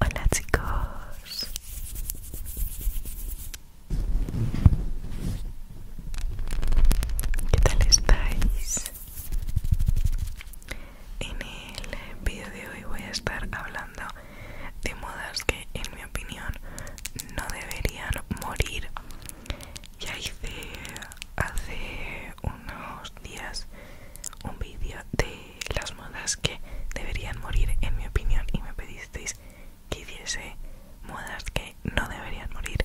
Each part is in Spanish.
Hola chicos ¿Qué tal estáis? En el vídeo de hoy voy a estar hablando de modas que en mi opinión no deberían morir ya hice hace unos días un vídeo de las modas que deberían morir en mi opinión y me pedisteis que hiciese modas que no deberían morir.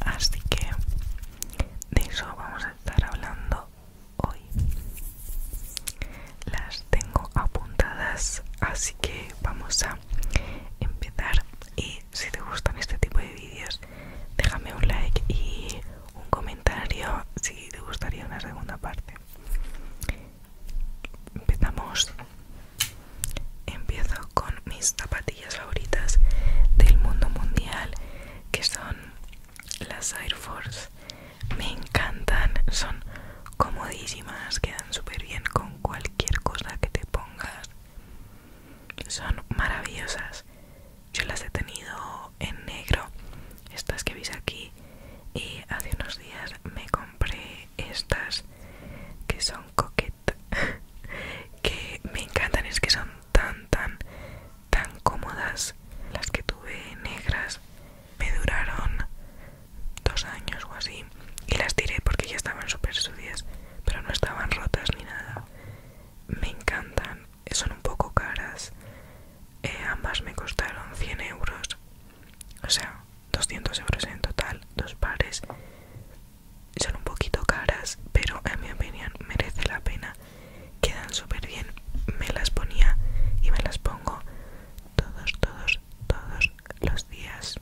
Así que de eso vamos a estar hablando hoy. Las tengo apuntadas, así que vamos a empezar y si te gustan este tipo de vídeos déjame un like y un comentario si te gustaría una segunda parte empezamos empiezo con mis zapatillas favoritas del mundo mundial que son las Air Force me encantan son comodísimas quedan súper bien con cualquier cualquier cosa que te pongas son maravillosas yo las he tenido en negro estas que veis aquí y hace unos días me compré estas que son coquette que me encantan es que son tan tan tan cómodas las que tuve negras me duraron dos años o así y las tiré porque ya estaban súper sucias pero no estaban rotas ni nada me encantan son un poco caras eh, ambas me costaron 100 euros o sea 200 euros en total dos pares son un poquito caras pero en mi opinión merece la pena quedan súper bien me las ponía y me las pongo todos todos todos, los días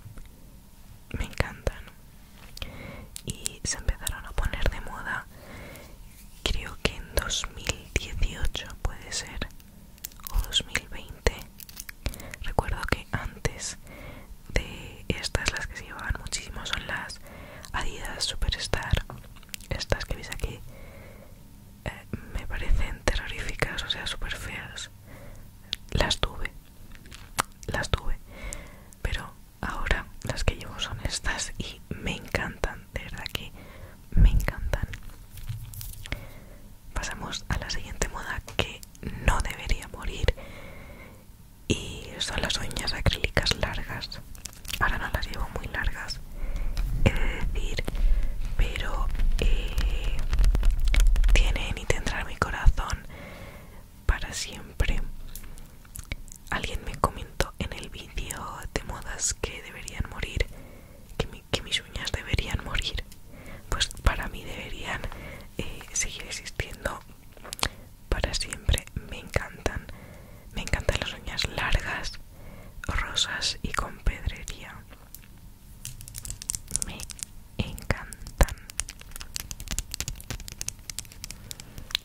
me encantan y se empezaron a poner de moda creo que en 2018 puede ser o 2020 recuerdo que antes de estas las que se llevaban muchísimo son las Adidas Superstar estas que veis aquí eh, me parecen terroríficas o sea super feas las tuve las tuve pero ahora las que llevo son estas y me encantan de verdad que me encantan pasamos a la siguiente moda que no debería morir y son las uñas acrílicas largas ahora no las llevo muy largas he decir pero eh, tienen y tendrán mi corazón para siempre alguien me comentó en el vídeo de modas que deberían morir que, mis uñas deberían morir pues para mí deberían eh, seguir existiendo para siempre me encantan me encantan las uñas largas rosas y con pedrería me encantan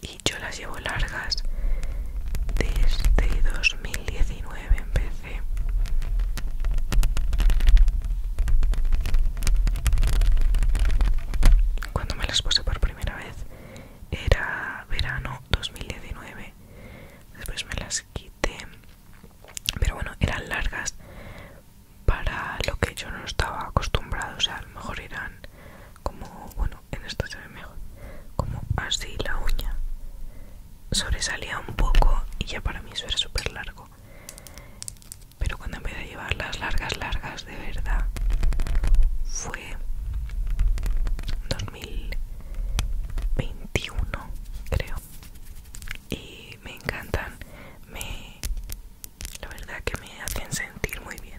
y yo las llevo largas desde 2019 empecé cuando me las puse por primera vez era verano 2019 después me las quité pero bueno eran largas para lo que yo no estaba acostumbrado o sea a lo mejor eran como bueno en esto se ve mejor como así la uña sobresalía un poco y ya para mí eso era súper largo pero cuando empecé a llevar las largas largas de verdad fue 2021 creo y me encantan me la verdad que me hacen sentir muy bien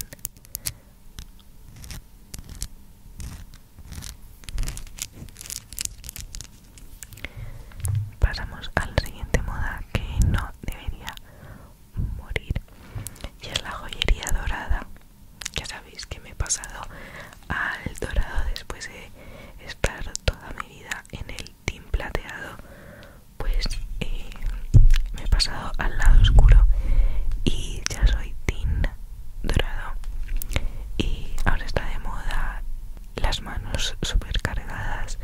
pasamos a la siguiente moda que no debería morir y es la joyería dorada ya sabéis que me he pasado al dorado después de estar toda mi vida en el team plateado pues eh, me he pasado al lado oscuro y ya soy team dorado y ahora está de moda las manos super cargadas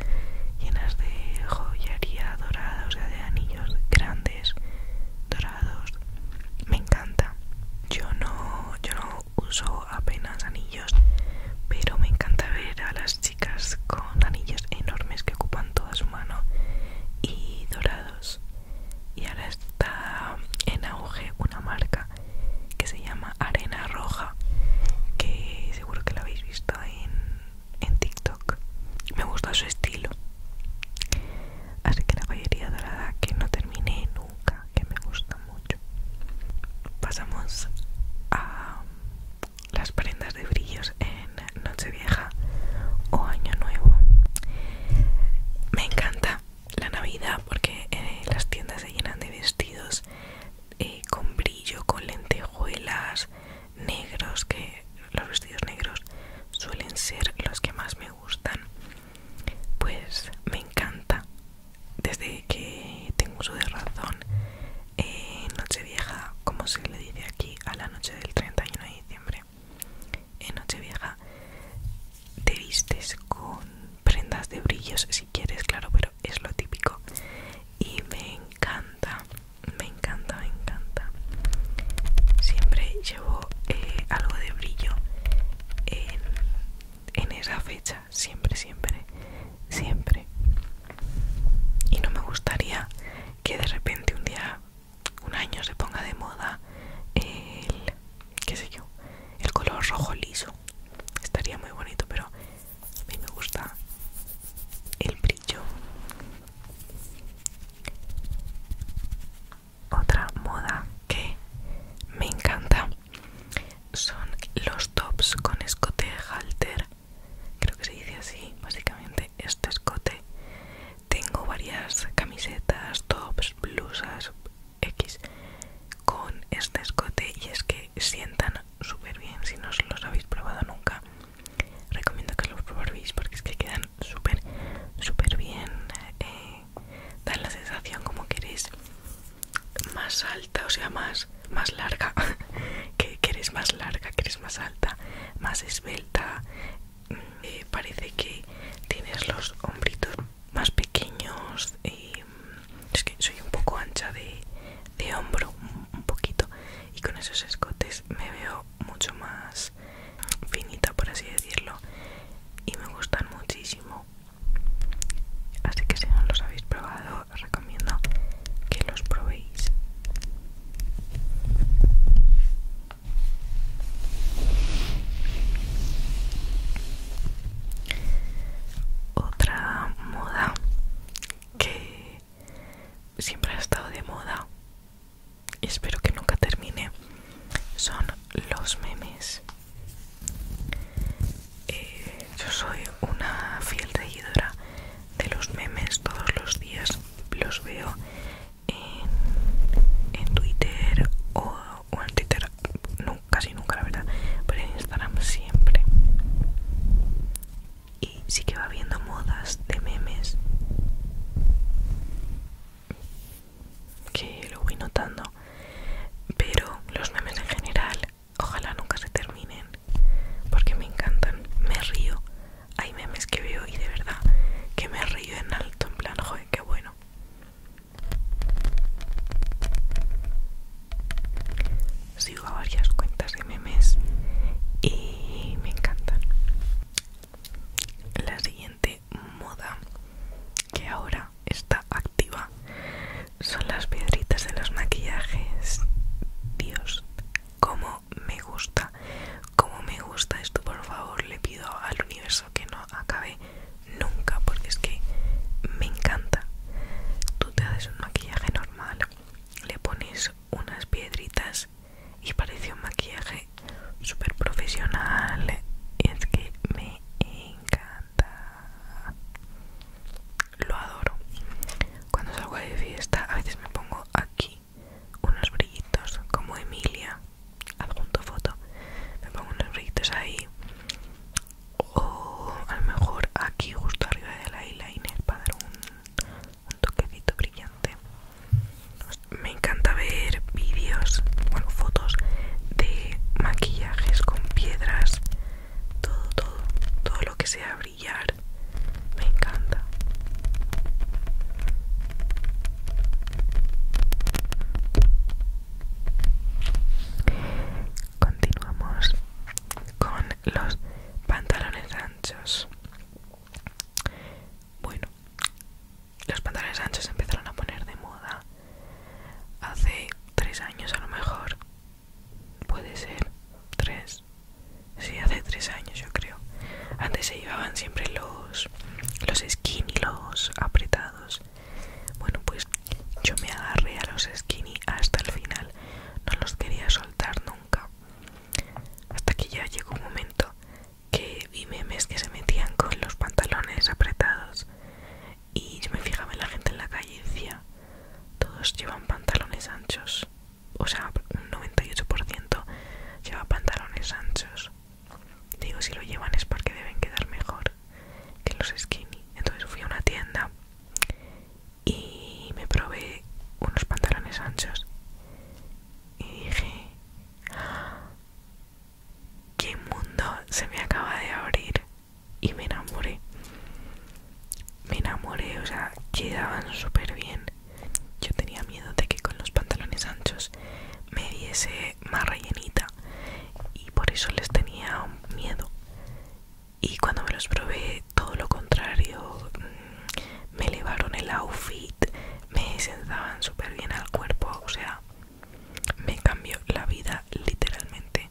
llenas de joyería dorada o sea de anillos grandes dorados me encanta yo no yo no uso apenas anillos, pero me encanta ver a las chicas con anillos enormes que ocupan toda su mano y dorados. Y ahora está en auge una marca que se llama Arena Roja, que seguro que la habéis visto en, TikTok. Me gusta su estilo. Así que la joyería dorada que no terminé nunca, que me gusta mucho pasamos a las prendas de brillos en nochevieja o año nuevo me encanta la navidad porque eh, las tiendas se llenan de vestidos eh, con brillo con lentejuelas negros que los vestidos negros suelen ser los que más me gustan pues me encanta desde que tengo uso de razón en eh, Nochevieja como se le dice aquí a la noche del 31 de diciembre en Nochevieja te vistes con prendas de brillos si quieres claro pero es lo típico y me encanta me encanta me encanta siempre llevo eh, algo de brillo en en esa fecha, siempre, siempre, siempre. Y no me gustaría que de repente un día, un año se ponga de moda el, qué sé yo, el color rojo liso. Estaría muy bonito, pero a mí me gusta el brillo otra moda que me encanta son los tops con escote halter creo que se dice así básicamente este escote tengo varias camisetas tops blusas x con este escote y es que sientan súper bien si no os los habéis probado nunca recomiendo que los probéis porque es que quedan súper súper bien eh, da la sensación como que eres más alta, o sea, más, larga, que, eres más larga, que eres más alta, más esbelta, eh, parece que tienes los hombritos más pequeños y mm, es que soy un poco ancha de, hombro, un poquito, y con esos escotes me veo mucho más finita por así decirlo y me gustan muchísimo así que si no los habéis probado os recomiendo que los probéis otra moda que siempre ha estado de moda espero que nunca termine son los memes. Eh, yo soy una fiel seguidora de los memes todos los días, los veo en, en Twitter o, en Twitter, casi nunca la verdad, pero en Instagram siempre. Y sí que va viendo modas de memes que lo voy notando pero los memes en general ojalá nunca se terminen porque me encantan me río hay memes que veo y de verdad que me río en alto en plan joder qué bueno sigo a varias cuentas de memes y me encantan la siguiente moda que ahora está activa son las piedritas de los maquillajes. Dios, como me gusta, como me gusta esto. Por favor, le pido al universo que no acabe nunca porque es que me encanta. Tú te haces un maquillaje normal, le pones unas piedritas y parece un maquillaje super profesional y es que me encanta lo adoro cuando salgo de fiesta a veces me pongo aquí unos brillitos como Emilia adjunto foto me pongo unos brillitos ahí o a lo mejor aquí justo arriba del eyeliner para dar un toquecito brillante me encanta ver vídeos, bueno, fotos de maquillajes con piedras, todo, todo, todo lo que sea brillar. Me encanta. Continuamos con los pantalones anchos. Bueno, los pantalones anchos empezaron a poner de moda hace tres años a lo mejor puede ser tres sí hace tres años yo creo antes se llevaban siempre los los skinny los apretados bueno pues yo me agarré a los skinny hasta el final no los quería soltar nunca hasta que ya llegó un momento que vi memes que se metían con los pantalones apretados y yo me fijaba en la gente en la calle y decía, todos llevan pantalones anchos, o sea, un 98% lleva pantalones anchos. Digo, si lo llevan es porque deben quedar mejor que los skinny. Entonces fui a una tienda y me probé unos pantalones anchos y dije, qué mundo se me acaba de abrir y me enamoré me enamoré o sea quedaban súper bien yo tenía miedo de que con los pantalones anchos me diese más rellenita y por eso les tenía miedo y cuando me los probé todo lo contrario mm, me elevaron el outfit, me sentaban súper bien al cuerpo, o sea, me cambió la vida literalmente.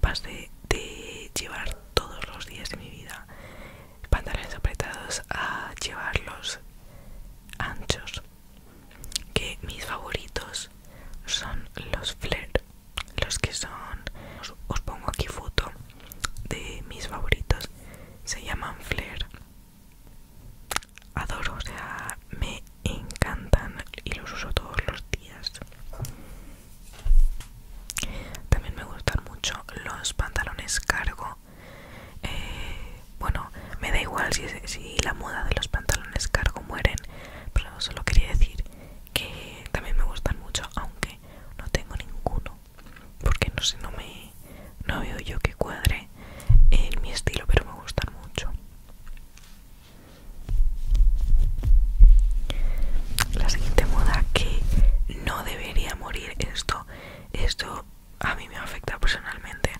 Pasé de llevar todos los días de mi vida pantalones apretados a llevarlos anchos. Que mis favoritos son los flare, los que son, os, pongo aquí foto de mis favoritos, se llaman flare adoro, o sea, me encantan y los uso todos los días. También me gustan mucho los pantalones cargo. Eh, bueno, me da igual si, si la moda de los pantalones cargo mueren, pero solo quería decir que también me gustan mucho, aunque no tengo ninguno porque no sé, no me no veo yo que cuadre en mi estilo, pero me gustan mucho. La siguiente moda que no debería morir esto, esto a mí me afecta personalmente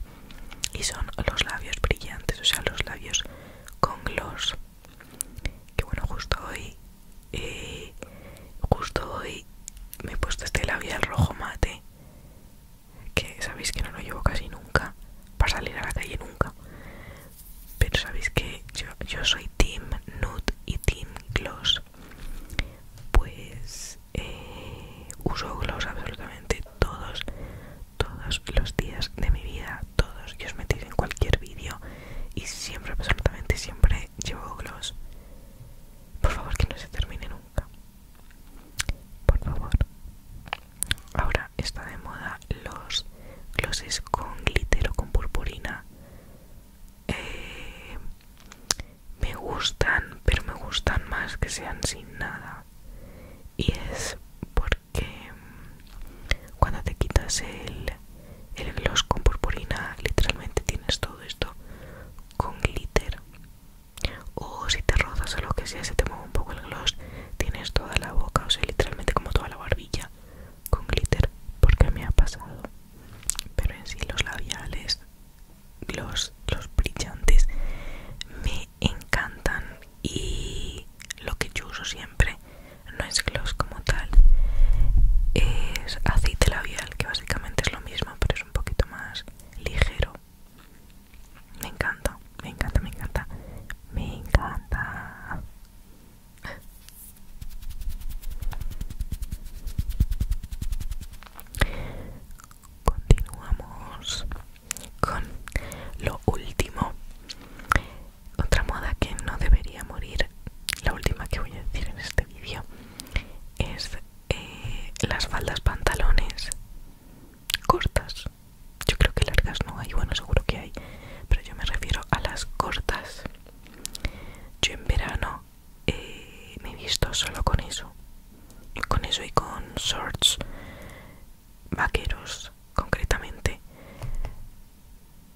y son los labios brillantes, o sea, los labios con gloss. Que bueno, justo hoy, eh, justo hoy me he puesto este labial rojo mate que sabéis que no lo llevo casi nunca para salir a la calle nunca pero sabéis que yo, soy team nude y team gloss pues eh, uso gloss absolutamente todos todos los días de mi vida todos y os metéis en cualquier vídeo y siempre absolutamente siempre llevo gloss por favor que no se nunca por favor. Ahora está de moda los glosses con glitter o con purpurina. Eh, me gustan, pero me gustan más que sean sin nada. Y es porque cuando te quitas el, el gloss con purpurina, literalmente tienes todo esto con glitter o si te rozas o lo que sea se te mueve un poco el gloss tienes toda la boca o sea literalmente como toda la barbilla con glitter porque me ha pasado pero en sí los labiales los, los brillantes me encantan y lo que yo uso siempre no es gloss como tal es aceite labial que básicamente es lo mismo pero es un poquito más ligero. Me encanta, me encanta, me encanta, me encanta. Continuamos con lo último. Otra moda que no debería morir, la última que voy a decir en este vídeo, es eh, las faldas pantalones cortas yo creo que largas no hay bueno seguro que hay pero yo me refiero a las cortas yo en verano eh, me he visto solo con eso con eso y con shorts vaqueros concretamente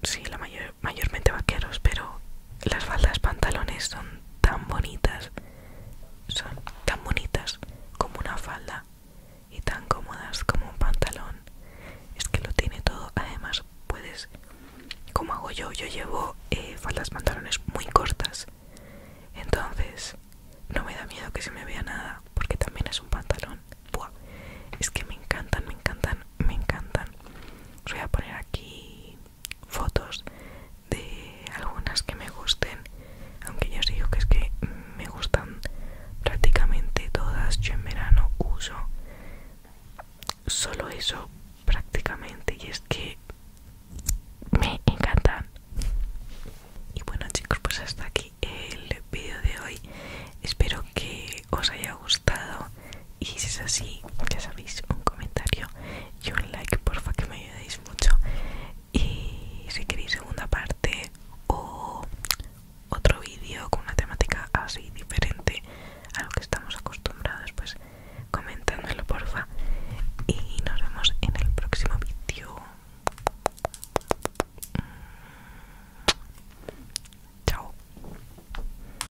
si la mayor mayormente vaqueros, pero las faldas pantalones son tan bonitas, son tan bonitas como una falda y tan cómodas como un pantalón. Es que lo tiene todo, además puedes, como hago yo, yo llevo eh, faldas pantalones muy cortas, entonces no me da miedo que se me vea nada, porque también es un pantalón. es que me encantan, me encantan, me encantan. Os voy a poner aquí fotos de algunas que me gusten aunque yo os digo que es que me gustan prácticamente todas yo en verano uso solo eso prácticamente y es que me encantan y bueno chicos pues hasta aquí el vídeo de hoy espero que os haya gustado y si es así ya sabéis un comentario y un like porfa que me ayudéis mucho y si queréis segunda parte o otro vídeo con una temática así diferente a lo que estamos acostumbrados pues comentándolo porfa y nos vemos en el próximo vídeo chao